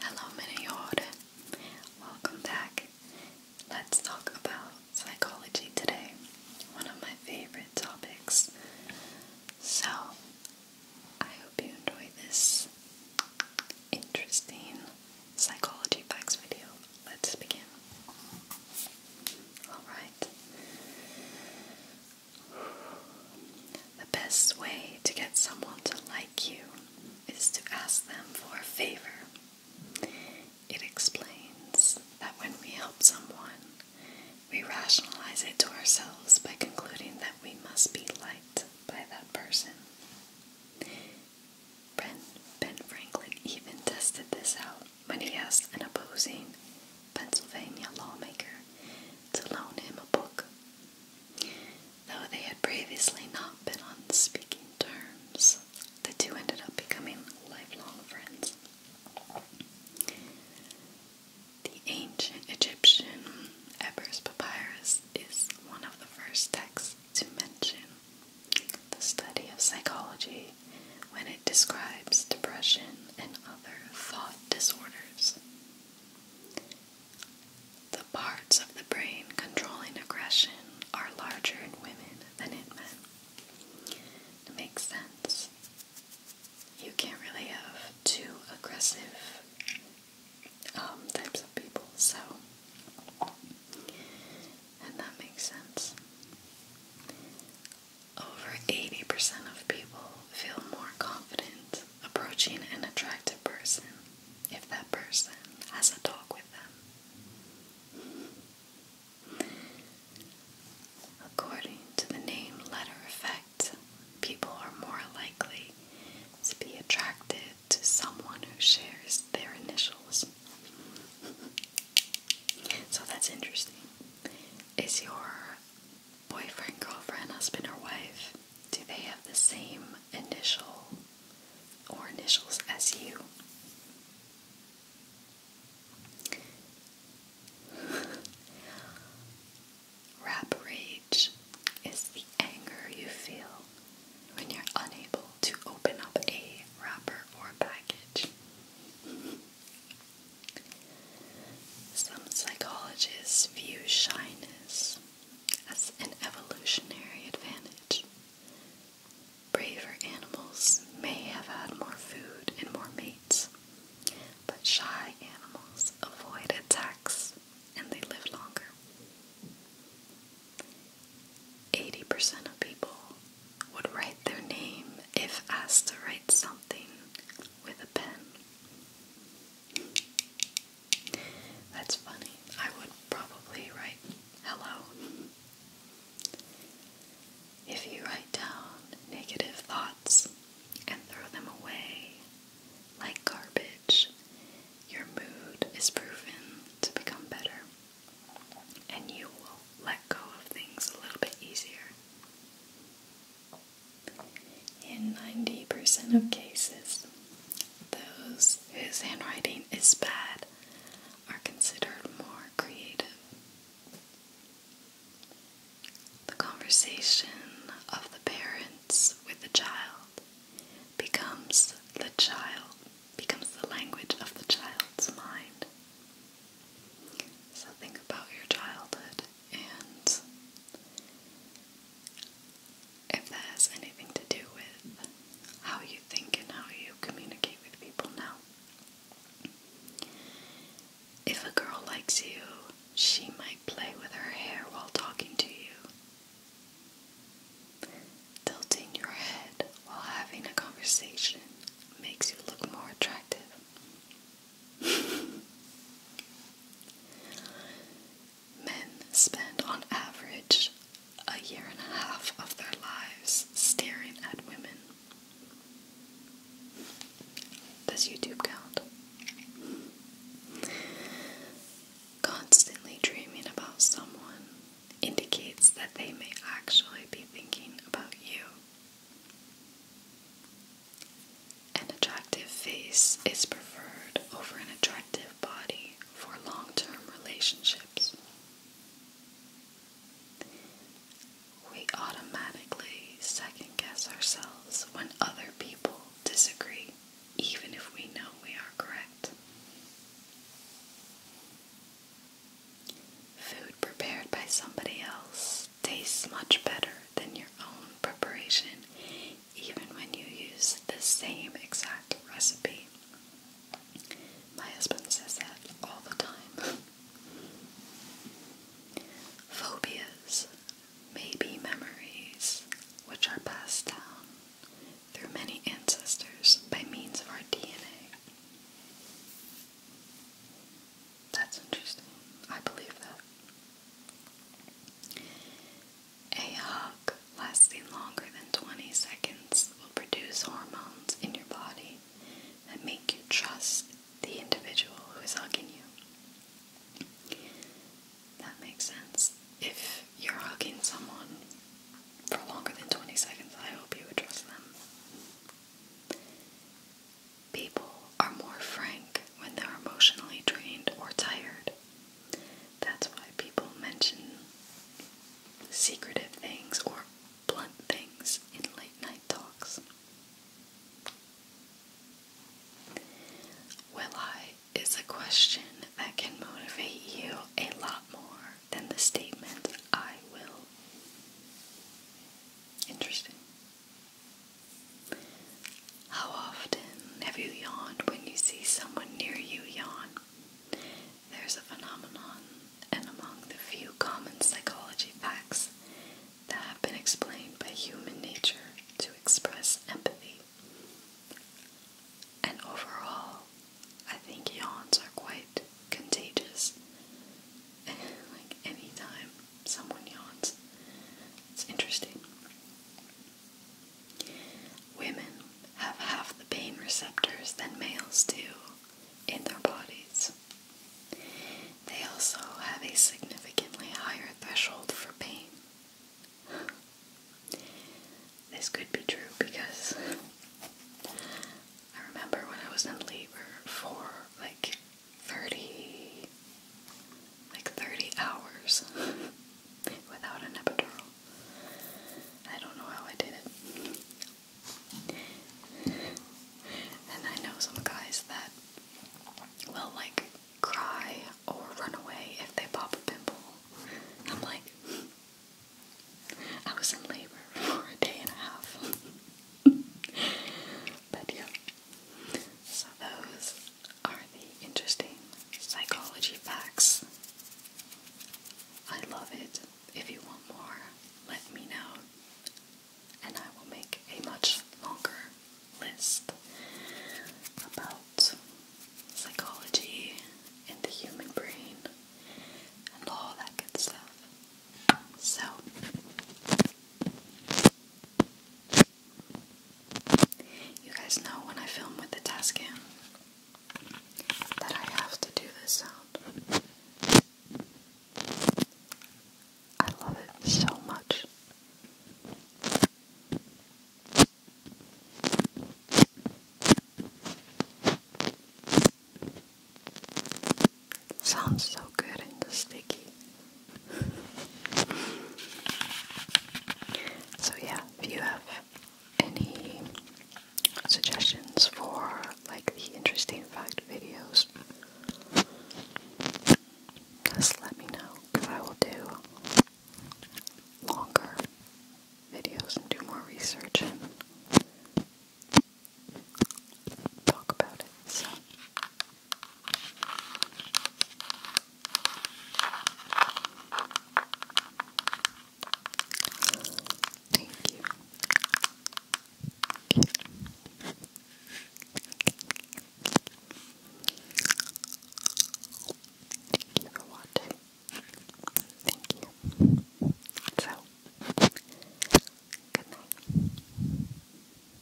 Hello, Minayod. Welcome back. Let's talk about psychology today, one of my favorite topics. So, I hope you enjoy this interesting psychology facts video. Let's begin. Alright. The best way to get someone to like you is to ask them for a favor. It explains that when we help someone, we rationalize it to ourselves by concluding that we must be liked by that person. Ben, Franklin even tested this out when he asked an opposing Pennsylvania lawmaker to loan him a book Though they had previously not been on speaking terms, the two ended up becoming lifelong friends. The ancient Egyptian Ebers Papyrus is one of the first texts to mention the study of psychology when it describes depression and other thought disorders. The parts of the brain controlling aggression are larger in women than in men. It makes sense. You can't really have two aggressive um, types of people, so. And that makes sense. Over 80% of people feel more confident approaching an attractive person if that person has a dog with them. According to the name letter effect, people are more likely to be attracted to someone who shares their initials. so that's interesting. Is your boyfriend, girlfriend, husband, or wife do they have the same initial or initials as you? Rap rage is the anger you feel when you're unable to open up a wrapper or package. Some psychologists view shyness as an evolutionary advantage. Braver animals may have had more food and more mates, but shy animals avoid attacks and they live longer. 80% of people would write their name if asked to write something with a pen. That's funny. I would probably write hello. If you write down negative thoughts and throw them away like garbage, your mood is proven to become better and you will let go of things a little bit easier. In 90% of cases, those whose handwriting is bad are considered more creative. The conversation of the parents with the child becomes the child, becomes the language of the child's mind. So think about your childhood and if that has anything to do with how you think and how you communicate with people now. If a girl likes you, she might play with her hair while talking to you. Tilting your head while having a conversation makes you look more attractive. Men spend on average a year and a half of their lives staring at women. Does YouTube count? Constantly dreaming about someone indicates that they may actually be thinking about you. An attractive face is preferred over an attractive body for long term relationships. We automatically second guess ourselves when other people disagree, even if we know we are correct. Food prepared by somebody else tastes much better than your own preparation, even when you use the same exact recipe. My husband says that all the time. Phobias may be memories which are passed down through many ancestors by means of our DNA. That's interesting. I believe that. A hug lasting longer than 20 seconds will produce hormones in your body that make you trust the individual who is hugging you. That makes sense. If you're hugging someone for longer than 20 seconds, I hope you would trust them. People are more frank when they're emotionally drained or tired. That's why people mention secretive things or blunt things in late night talks. Will I is a question that can motivate you a lot more than the statement I will. Interesting. How often have you yawned when you see someone near you yawn? There's a phenomenon, and among the few common psychology facts that have been explained by human nature to express empathy. And overall, I think yawns are quite contagious. like anytime Someone yawns. It's interesting. Women have half the pain receptors than males do in their bodies. They also have a significantly higher threshold for pain. This could be true because I remember when I was in labor for like 30, like 30 hours without an epidural. I don't know how I did it. and I know some guys that will like cry or run away if they pop a pimple. I'm like, I was in labor for a day and a half. but yeah, so those are the interesting psychology facts. I love it. If you want more, let me know, and I will make a much longer list about psychology and the human brain and all that good stuff. So, you guys know when I film with the Tascam that I have to do this sound. I love it so much. Sounds so good in the sticky so yeah, if you have any suggestions for like the interesting fact videos, just let me know because I will do longer videos and do more research and talk about it. Thank you. Thank you for watching. Thank you. So, good night.